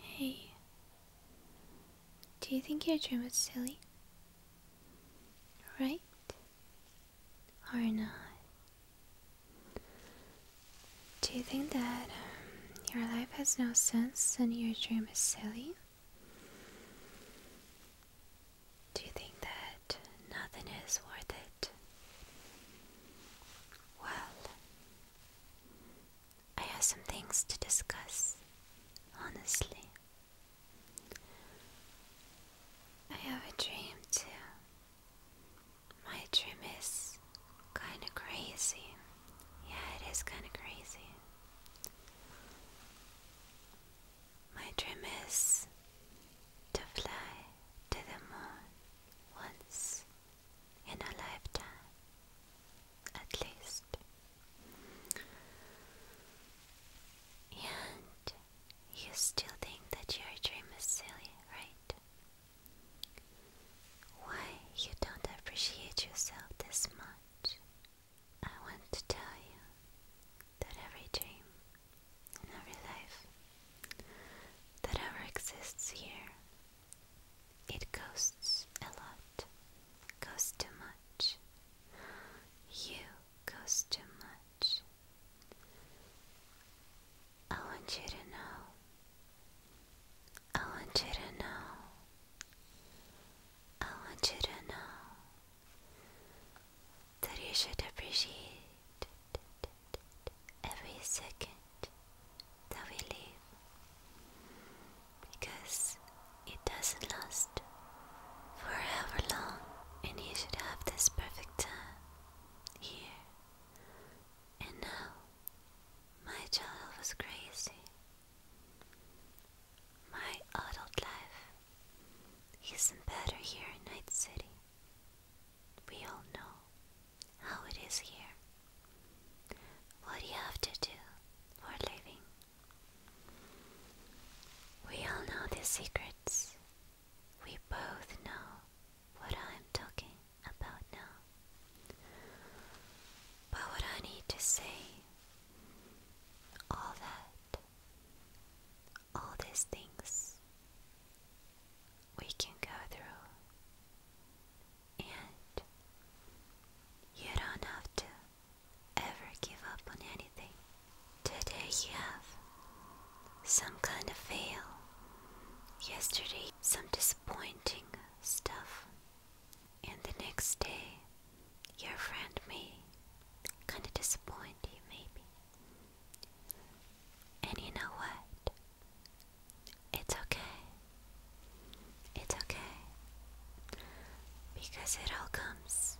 Hey, do you think your dream is silly? Right? Or not? Do you think that um, your life has no sense and your dream is silly? Do you think that nothing is worth it? Well, I have some things to discuss, honestly. I have a dream too. My dream is kinda crazy. Yeah, it is kinda crazy. My dream is to fly to the moon once in a lifetime, at least. And you still think that your dream is silly, right? Why you don't appreciate yourself this much? I want to tell you that every dream and every life that ever exists here it costs a lot, costs too much. You cost too much. I want you to know. I want you to know. I want you to know that you should appreciate every second that we live because it doesn't last forever long, and you should have this perfect time here and now. My child was crazy. My adult life isn't better here in Night City. We all know how it is here. What do you have to do for living? We all know the secrets. We both know what I'm talking about now. But what I need to say, all that, all these things, we can go through and you don't have to ever give up on anything. Today you have some kind of fail. Yesterday, some disappointing stuff. And the next day, your friend may kind of disappoint you, maybe. And you know what? It's okay. It's okay. Because it all comes,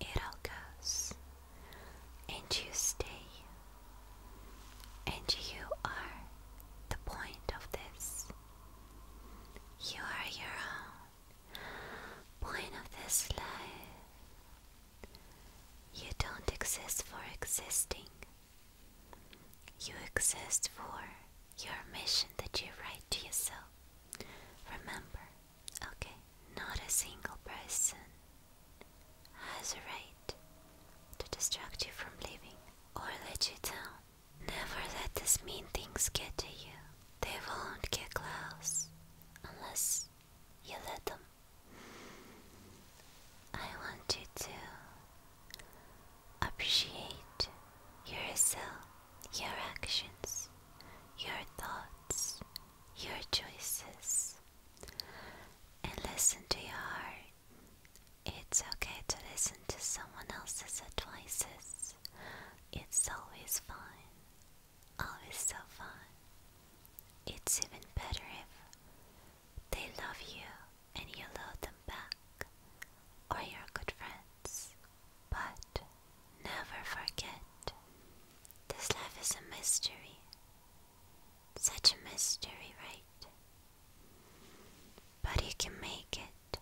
it all goes. And you stay. And you are the point of this. You are your own point of this life. You don't exist for existing. You exist for your mission that you write to yourself. Remember, okay, not a single person has a right to distract you from living or let you down. Never let these mean things get to you. They won't get close unless you let them. I want you to Appreciate yourself, your actions, your thoughts, your choices, and listen to your heart. It's okay to listen to someone else's advices. It's always fine. Always so fun. It's even better if they love you and you love them back, or you good friends. But never forget, this life is a mystery. Such a mystery, right? But you can make it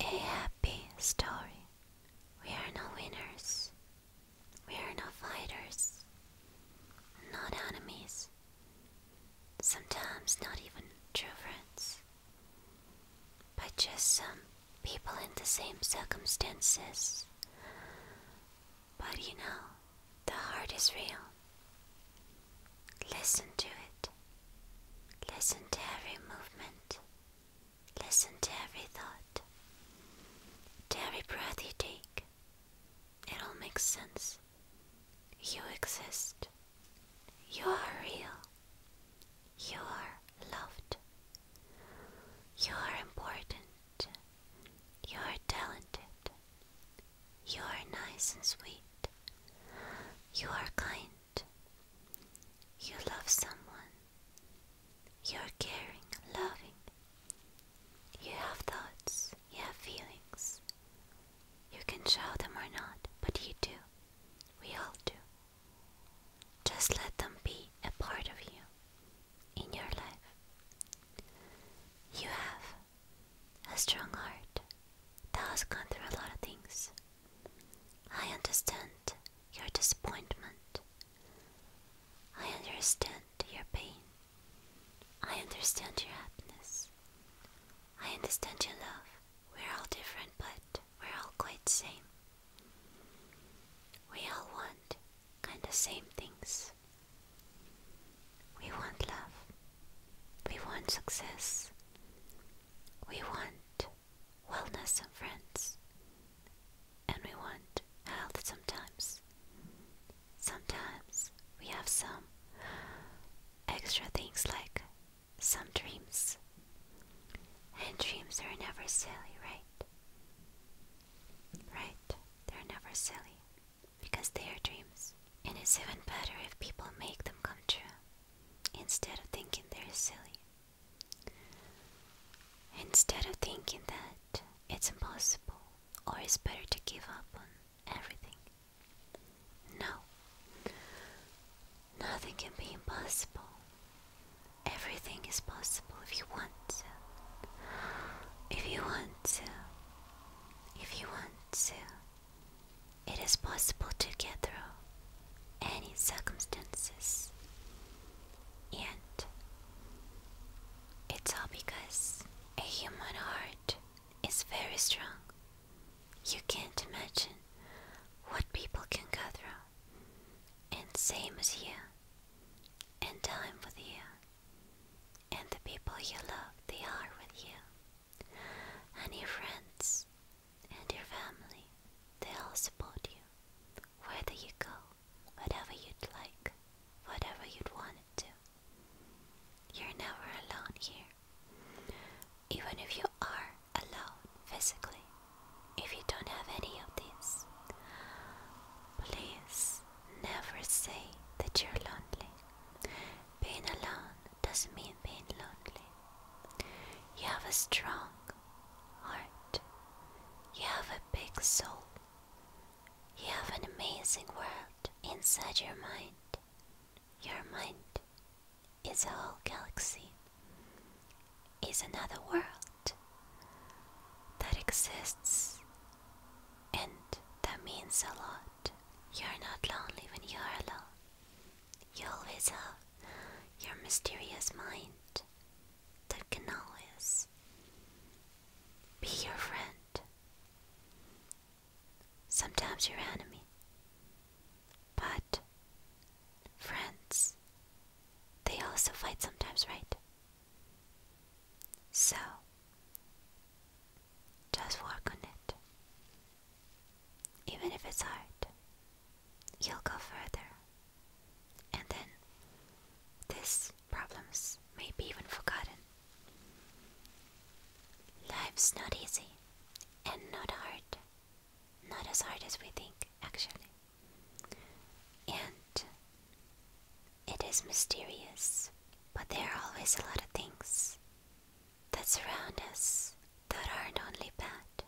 a happy story. We are no winners. We are no fighters, not enemies sometimes not even true friends, but just some people in the same circumstances. But you know, the heart is real. Listen to it. Listen to every movement. Listen to every thought. every breath you take. It all makes sense. You exist. You are real. You are loved. You are important. You are talented. You are nice and sweet. You are kind. You love someone. You are caring, loving. You have thoughts. You have feelings. You can show them or not, but you do. We all do. Just let them be a part of you in your life. You have a strong heart that has gone through a lot of things. I understand your disappointment. I understand your pain. I understand your happiness. I understand your love. We're all different, but we're all quite the same. We all want kind of same things. We want love. We want success. We want wellness and friends. And we want health sometimes. Sometimes we have some extra things like some dreams. And dreams are never silly, right? Right, they're never silly because they are dreams. And it's even better if people make them come true instead of thinking they're silly. Instead of thinking that it's impossible or it's better to give up on everything. No, nothing can be impossible. Everything is possible if you want to. If you want to. If you want to. It is possible to get through any circumstances. And it's all because a human heart it's very strong. You can't imagine what people can go through. And same as you. And time with you. And the people you love, they are with you. And your friends and your family, they all support you. wherever you go, whatever you'd like, whatever you'd want it to. You're never alone here. Even if you are alone physically, if you don't have any of these, please never say that you're lonely. Being alone doesn't mean being lonely. You have a strong heart, you have a big soul, you have an amazing world inside your mind. Your mind is a whole galaxy, is another world that exists, and that means a lot. You're not lonely when you are alone. You always have your mysterious mind that can always be your friend sometimes your enemy, but friends, they also fight sometimes, right? So, just work on it. Even if it's hard, you'll go further. And then this problems may be even forgotten. Life's not easy and not hard. Not as hard as we think, actually. And it is mysterious, but there are always a lot of things that surround us that aren't only bad,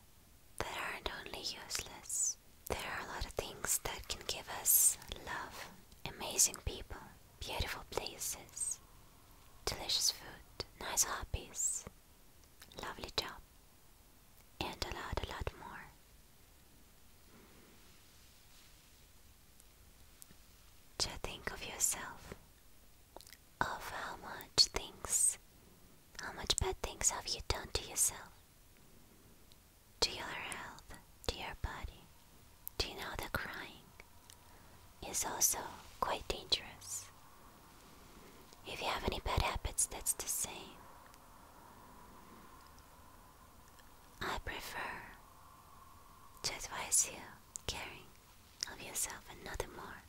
that aren't only useless. There are a lot of things that can give us love, amazing people, beautiful places, delicious food, nice hobbies, lovely job, and a lot, a lot more. To think of yourself, of how much things, how much bad things have you done to yourself, to your health, to your body. Do you know that crying is also quite dangerous? If you have any bad habits, that's the same. I prefer to advise you caring of yourself and nothing more.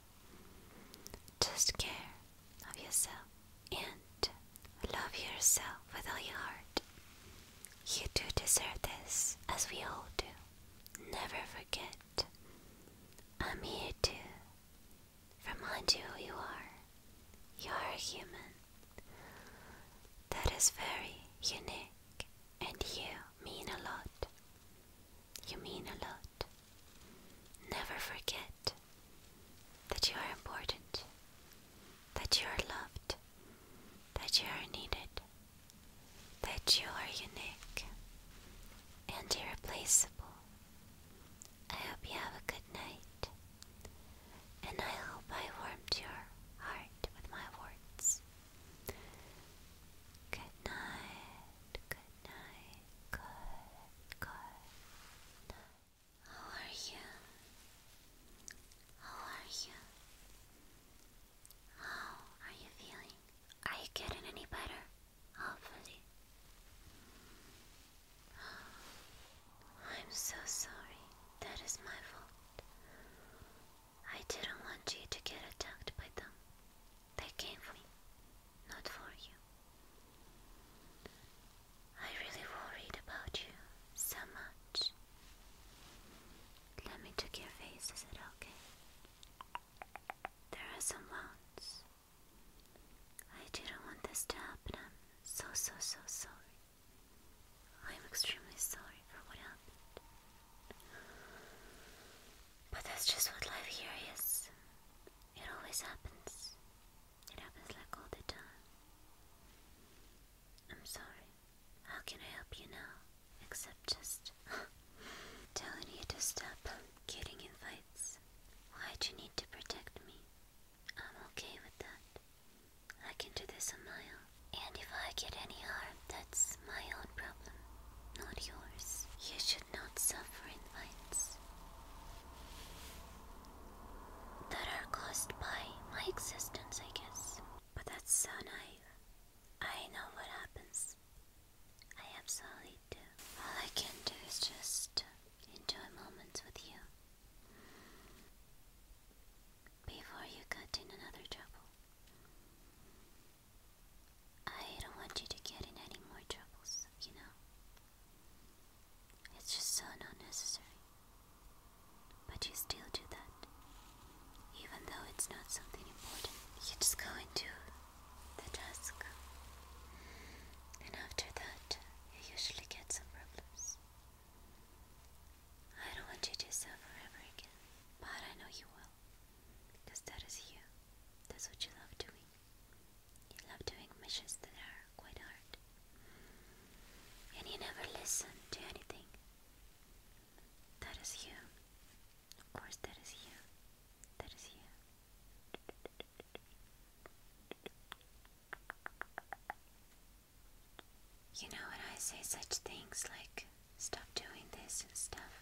Just care of yourself and love yourself with all your heart. You do deserve this, as we all do never forget. I'm here to remind you who you are. You are a human. That is very unique, and you mean a lot. You mean a lot. Never forget that you are important, that you are loved, that you are needed that you are unique and irreplaceable. I hope you have a good night, and I hope I warmed your heart with my words. Good night, good night, good, good How are you? How are you? How are you feeling? Are you getting any better? Hopefully. I'm so sorry. That is my fault. I didn't want you to get attacked by them. They came for me, not for you. I really worried about you so much. Let me check your face, is it okay? There are some wounds. I didn't want this to happen. I'm so, so, so sorry. I'm extremely sorry for what happened. But that's just what life here is. It always happens. It happens like all the time. I'm sorry. How can I help you now? Except just telling you to stop getting in fights. why do you need to protect me? I'm okay with that. I can do this on my own. And if I get any harm, that's my own problem, not yours. You should not suffer in fights that are caused by my existence, I guess. But that's so naive. I know what happens. I absolutely do. All I can do is just enjoy moments with you before you got in another trouble. I don't want you to get in any more troubles, you know? It's just so not necessary. But you still do that that even though it's not something important, you just go into the desk, And after that, you usually get some problems. I don't want you to suffer ever again, but I know you will. Because that is you. That's what you love doing. You love doing missions that are quite hard. And you never listen to anything. That is you. Of course, that is here. That is here. You know, when I say such things like stop doing this and stuff,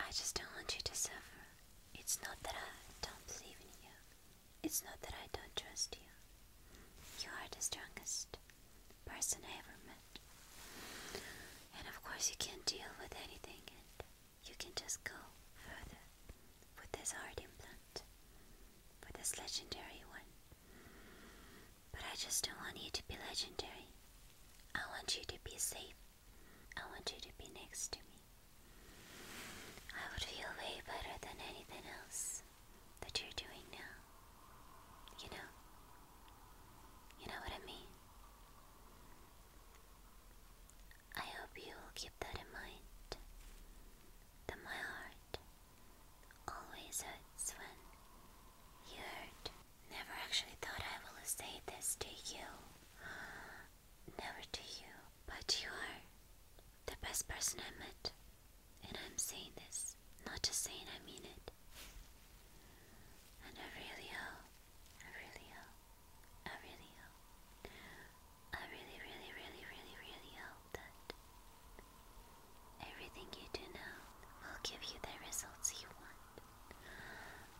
I just don't want you to suffer. It's not that I don't believe in you, it's not that I don't trust you. You are the strongest person I ever met. And of course, you can't deal with anything, and you can just go further with this heart implant, with this legendary one. But I just don't want you to be legendary. I want you to be safe. I want you to be next to me. I would feel way better than anything else that you're doing now. You know? You know what I mean? I hope you will keep that in mind. That my heart always hurts when you hurt. Never actually thought I will say this to you. Never to you. But you are the best person I met. And I'm saying this this. Not just saying I mean it. And I really hope, I really hope, I really hope, I really, really, really, really, really hope that everything you do now will give you the results you want.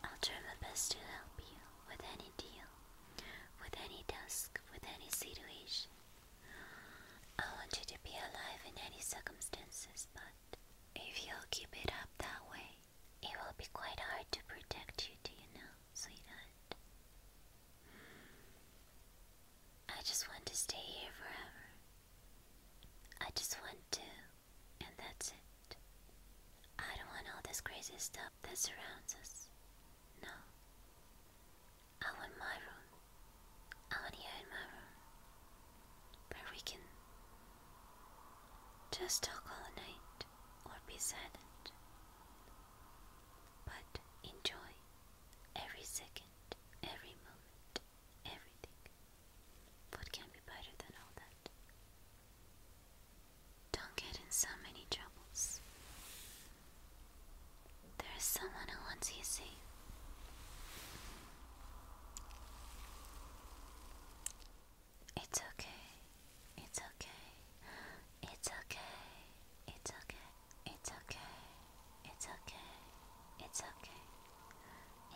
I'll try my best to help you with any deal, with any task, with any situation. I want you to be alive in any circumstances, but if you'll keep it up that way, it will be quite hard to protect you, do you know, sweetheart? Mm. I just want to stay here forever. I just want to, and that's it. I don't want all this crazy stuff that surrounds us. No. I want my room, out here in my room, where we can just talk all night or be silent, but enjoy every second, every moment, everything. What can be better than all that? Don't get in so many troubles. There is someone who wants you safe. It's okay. It's okay. It's okay. It's okay. It's okay. It's okay. It's okay.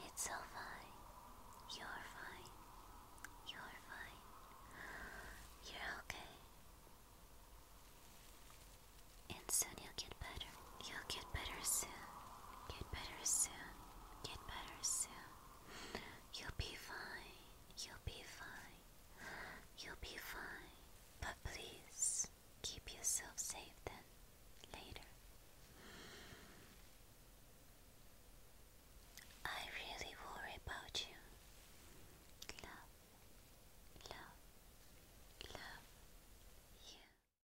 It's all fine. You're fine. You're fine. You're okay. And soon you'll get better. You'll get better soon. Get better soon. Get better soon. You'll be fine. You'll be fine. You'll be fine. But please keep yourself safe then. Later. I really worry about you. Love, love, love you.